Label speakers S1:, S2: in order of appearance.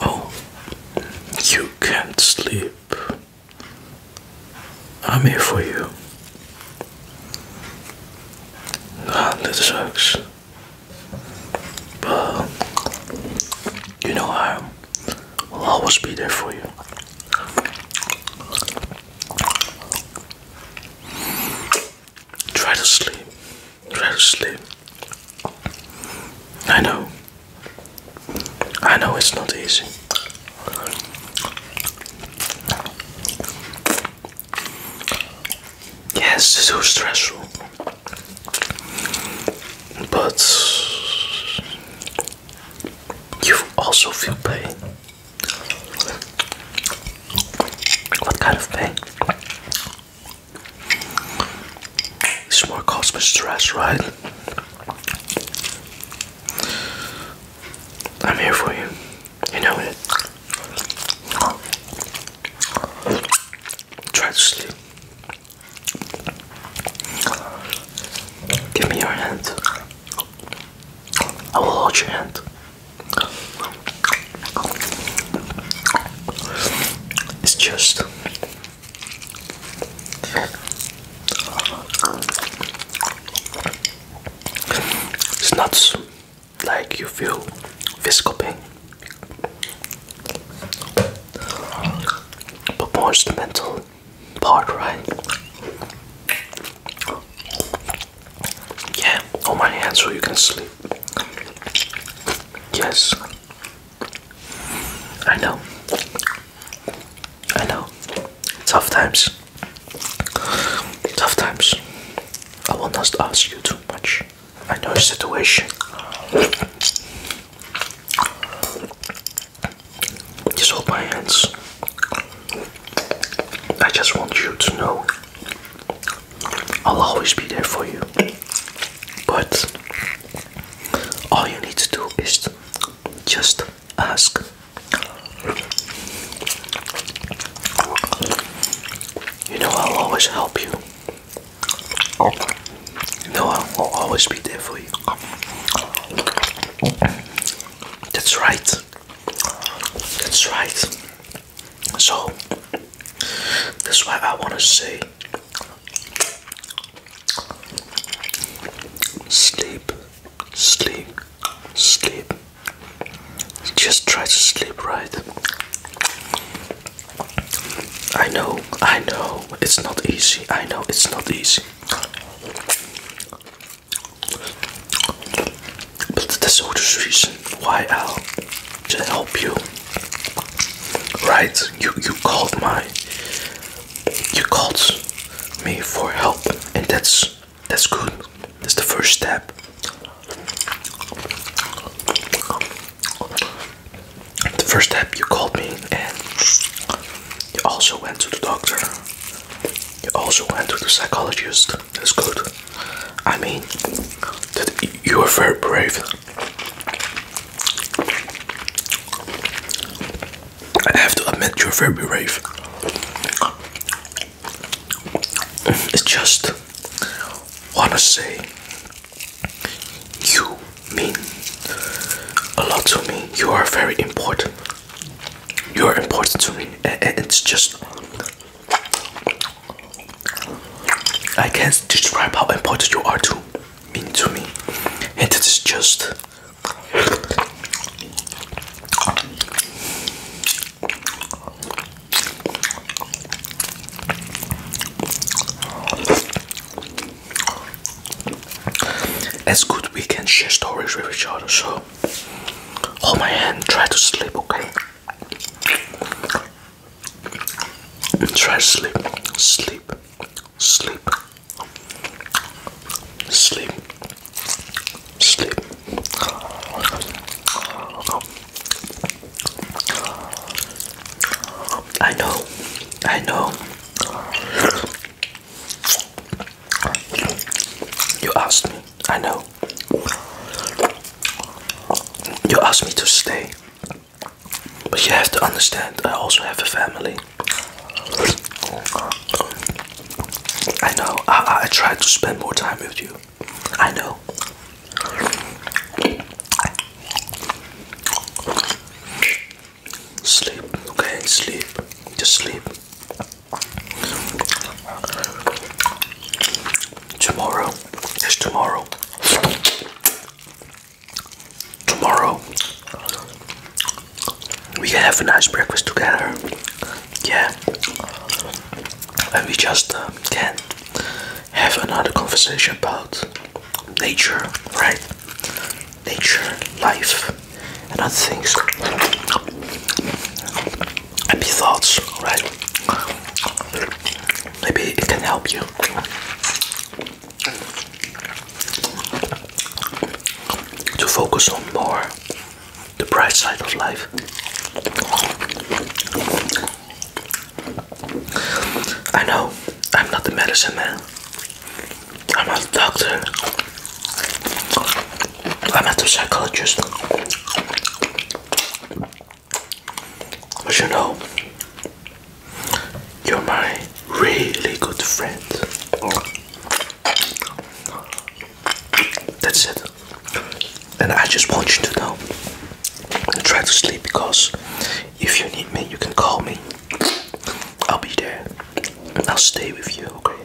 S1: Oh, you can't sleep. I'm here for you. Ah, that sucks. But you know I will always be there for you. Try to sleep. Try to sleep. I know. I know it's not easy. Yes, it's so stressful. But you also feel pain. What kind of pain? It's more cause me stress, right? I'm here for you. You know it. Try to sleep. Give me your hand. I will hold your hand. It's just it's not like you feel physical pain, but more mental part, right? Yeah, on my hand so you can sleep. Yes. I know. I know. Tough times. Tough times. I will not ask you too much. I know your situation. Just hold my hands. I just want you to know I'll always be there for you. But all you need to do is just ask. You know, I'll always help you. You know, I'll always be there for you. That's right. That's right. So that's why I wanna say sleep, sleep, sleep. Just try to sleep right. I know, I know, it's not easy. I know it's not easy. But that's all the reason why I'll just help you. Right? You you called my you called me for help and that's that's good. That's the first step. The first step you called me and you also went to the doctor. You also went to the psychologist. That's good. I mean, you are very brave. I have to admit, you're very brave. I just wanna say you mean a lot to me. You are very important. You are important to me, it's just I can't describe how important you are to me, and it is just as good we can share stories with each other so Hold my hand, try to sleep, okay? Try to sleep, sleep, sleep, sleep, sleep. I know, I know. You asked me, I know. You asked me to stay. But you have to understand, I also have a family. I know, I, I tried to spend more time with you. I know. Sleep, okay, sleep, just sleep. Tomorrow is tomorrow. Tomorrow we can have a nice breakfast together. Yeah. And we just uh, can have another conversation about nature, right? Nature, life, and other things happy thoughts, right? Maybe it can help you. To focus on more the bright side of life. I know I'm not the medicine man, I'm a doctor. I'm a psychologist. But you know, you're my really good friend. That's it. And I just want you to know. I'm trying to sleep because if you need me, you can call me. I'll be there. I'll stay with you, okay?